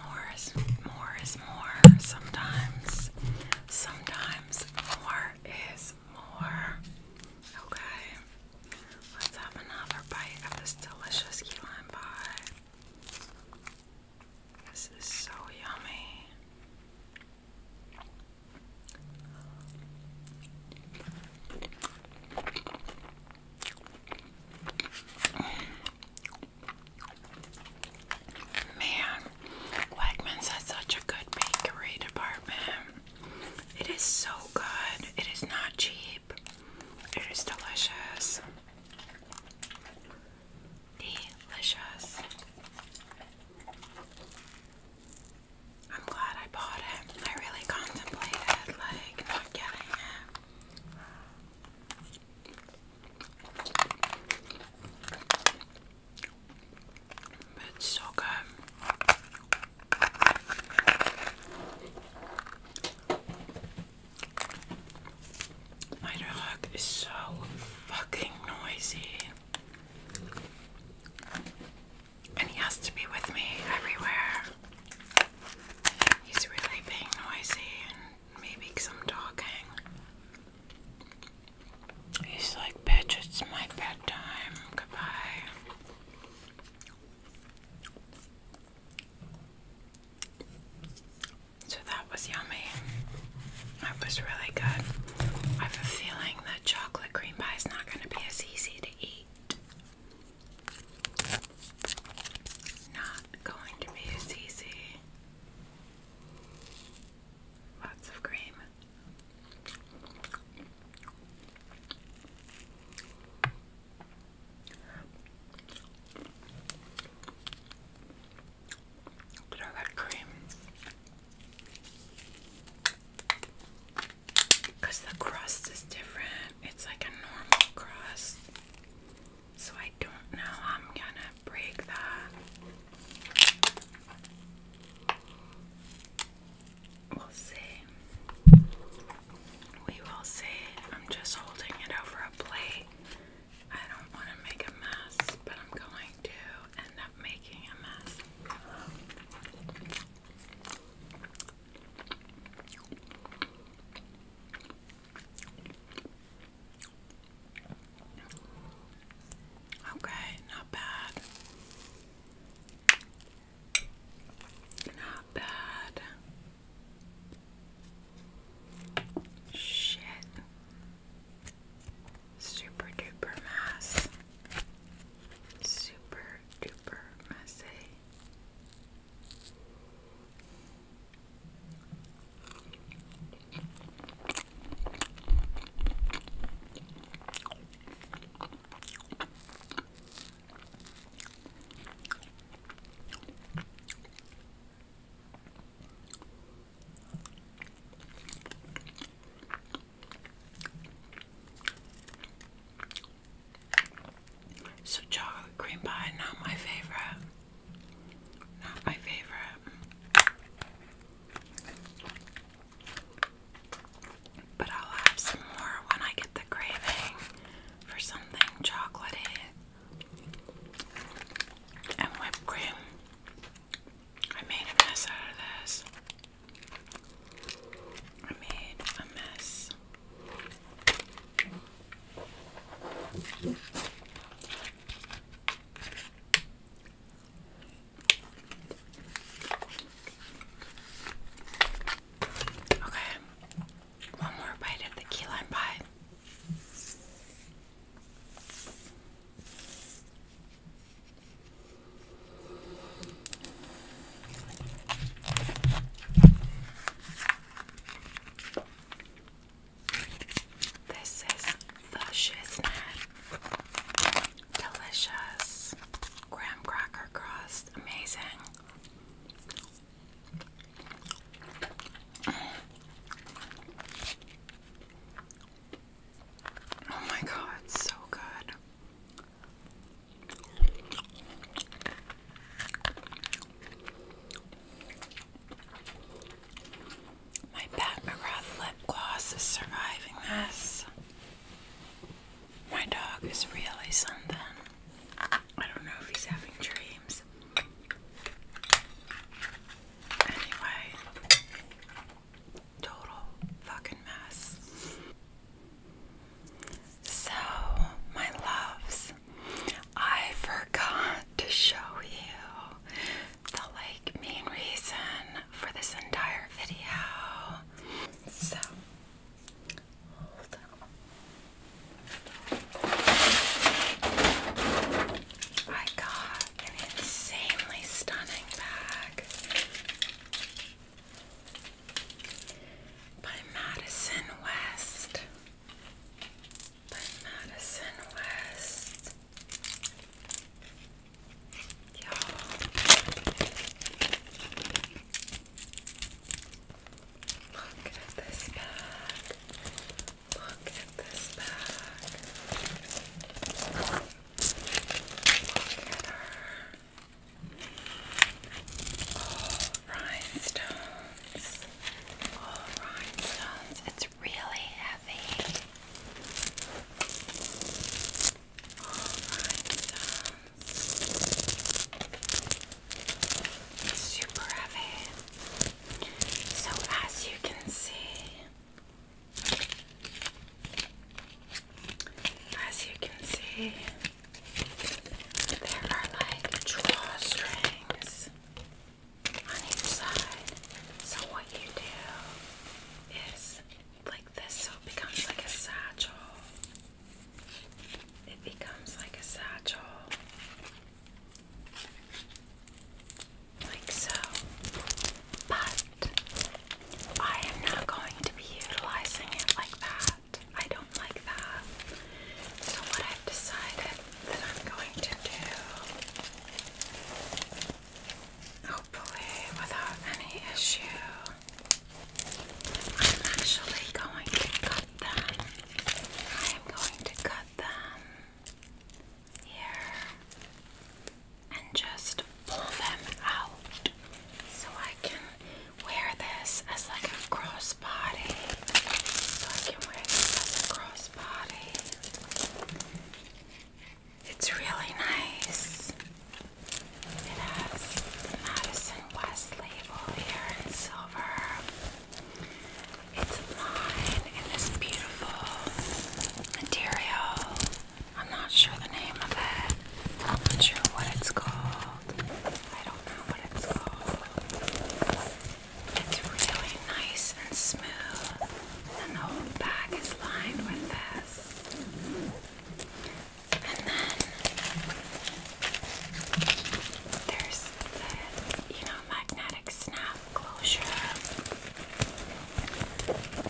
More is more is more. Sometimes, sometimes more is more. Okay, let's have another bite of this delicious key This is so yummy. Man, Wegmans has such a good bakery department. It is so good. It is not cheap. It is delicious. Delicious. I'm glad I bought it. I really contemplated like not getting it. it's so good. My dog is so fucking noisy. And he has to be with me everywhere. He's really being noisy and maybe I'm talking. He's like, bitch, it's my bedtime. Goodbye. So that was yummy. That was really good. I have a feeling that chocolate cream pie is not going to be as easy to eat. Not going to be as easy. Lots of cream. Look at all that cream. Because the crust is different, it's like a normal crust. So I don't know I'm gonna break that. We'll see. We will see. I'm just holding it over a plate. I don't want to make a mess, but I'm going to, making a mess. Okay, not bad. Not bad. Shit. Super duper mass. Super duper messy. So chocolate cream pie, not my favorite. Not my favorite. But I'll have some more when I get the craving for something chocolatey and whipped cream. I made a mess out of this. I made a mess. Okay, one more bite of the key lime pie. This is the Shiznit Delicious Graham Cracker Crust. Amazing. Oh my god, so good. My Pat lip gloss is surviving this. My dog is really something. I don't know if he's having dreams. Anyway, Total fucking mess. So, my loves, I forgot to show you the like main reason for this entire video. So, hold on. I got an insanely stunning bag by Madison West. By Madison West. Look at this bag. Look at this bag. Look at her rhinestones. All rhinestones. It's really heavy. All rhinestones. super heavy. So as you can see, as you can see, there are like drawstrings on each side. So, what you do is like this, so it becomes like a satchel. It becomes like a satchel. Like so. But I am not going to be utilizing it like that. I don't like that. So, what I've decided that I'm going to do, hopefully without any issue, I'm actually going to cut them. I am going to cut them here and just pull them out so I can wear this as like a crossbody. So I can wear this as a crossbody. It's really nice. It has Madison West label here in silver. It's lined in this beautiful material. I'm not sure the name of it. not sure what it's called. I don't know what it's called. It's really nice and smooth, and the whole bag is lined with this. And then there's the, you know, magnetic snap closure.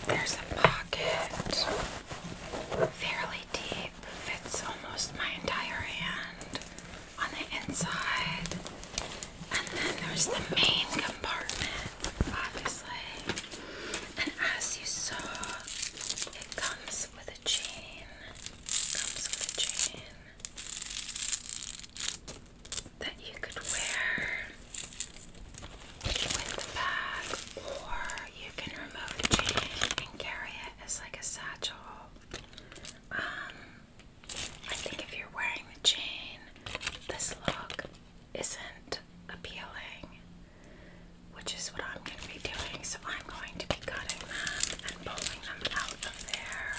There's a pocket fairly deep, fits almost my entire hand on the inside. And then there's the main compartment, obviously. And as you saw, it comes with a chain. comes with a chain that you could wear with the bag, or you can remove the chain and carry it as like a satchel. Um, I think if you're wearing the chain, this look isn't appealing, which is what I'm going to be doing. So I'm going to be cutting them and pulling them out of there.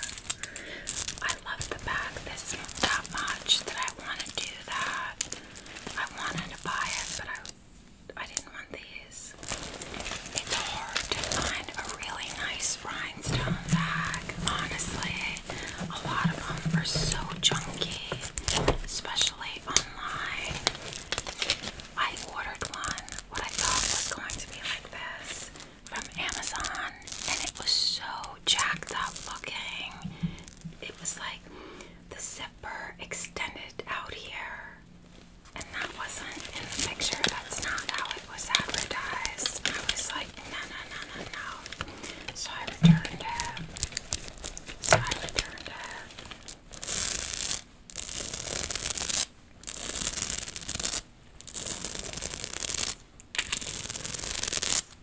I love the bag this that much that I want to do that. I wanted to buy it, but I I didn't want these. It's hard to find a really nice rhinestone bag, honestly. A lot of them are so junky, especially online. I ordered one, what I thought was going to be like this, from Amazon, and it was so jacked up looking. It was like the 70 zipper extended out here. And that wasn't in the picture. That's not how it was advertised. I was like, no, no, no, no, no. So I returned it. So I returned it.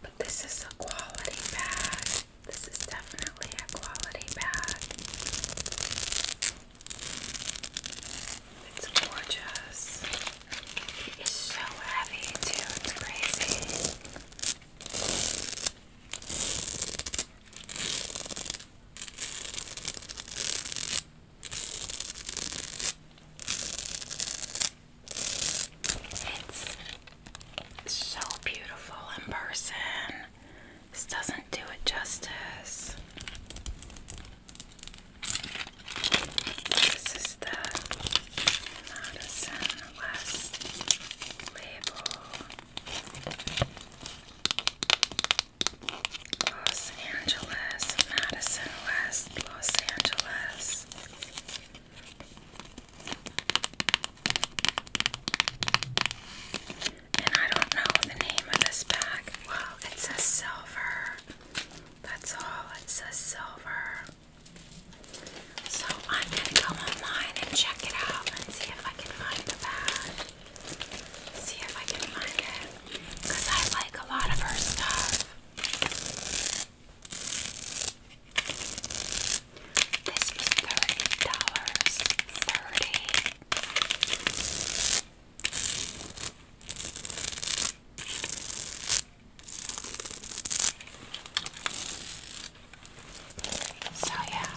But this is a quality bag. This is definitely a quality bag. It's gorgeous. It's so heavy too, it's crazy. It's so beautiful in person. This doesn't do it justice. This is the Madison West label. Los Angeles, Madison West, Los Angeles. And I don't know the name of this bag. Well, it says silver. That's all. It says silver. So I'm going to go online and check it out and see if I can find the bag. See if I can find it. Because I like a lot of her stuff. This was thirty dollars. So yeah,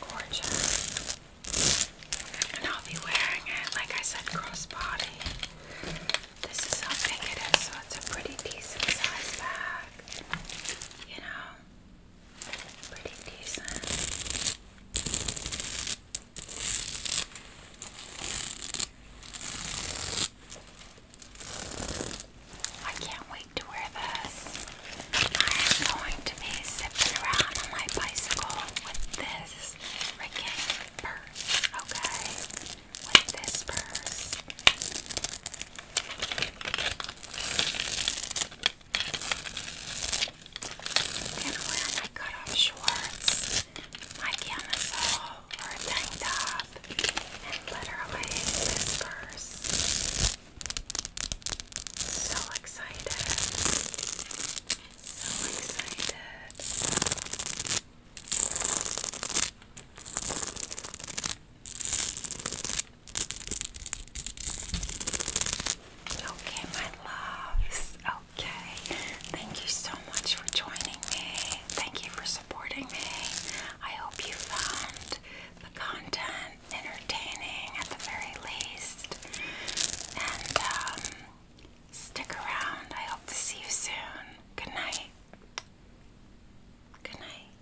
gorgeous. And I'll be wearing it, like I said, crossbody. This is how big it is, so it's a pretty decent size bag. You know, Pretty decent. I can't wait to wear this. I am going to be zipping around on my bicycle with this freaking purse, okay? With this purse. And when I cut off shorts, my camisole or a tank top, and literally whiskers. So excited. So excited. Okay, my loves. Okay. Thank you so much for joining me. Thank you for supporting me. I hope you found the content entertaining at the very least. And um, stick around. I hope to see you soon. Good night. Good night.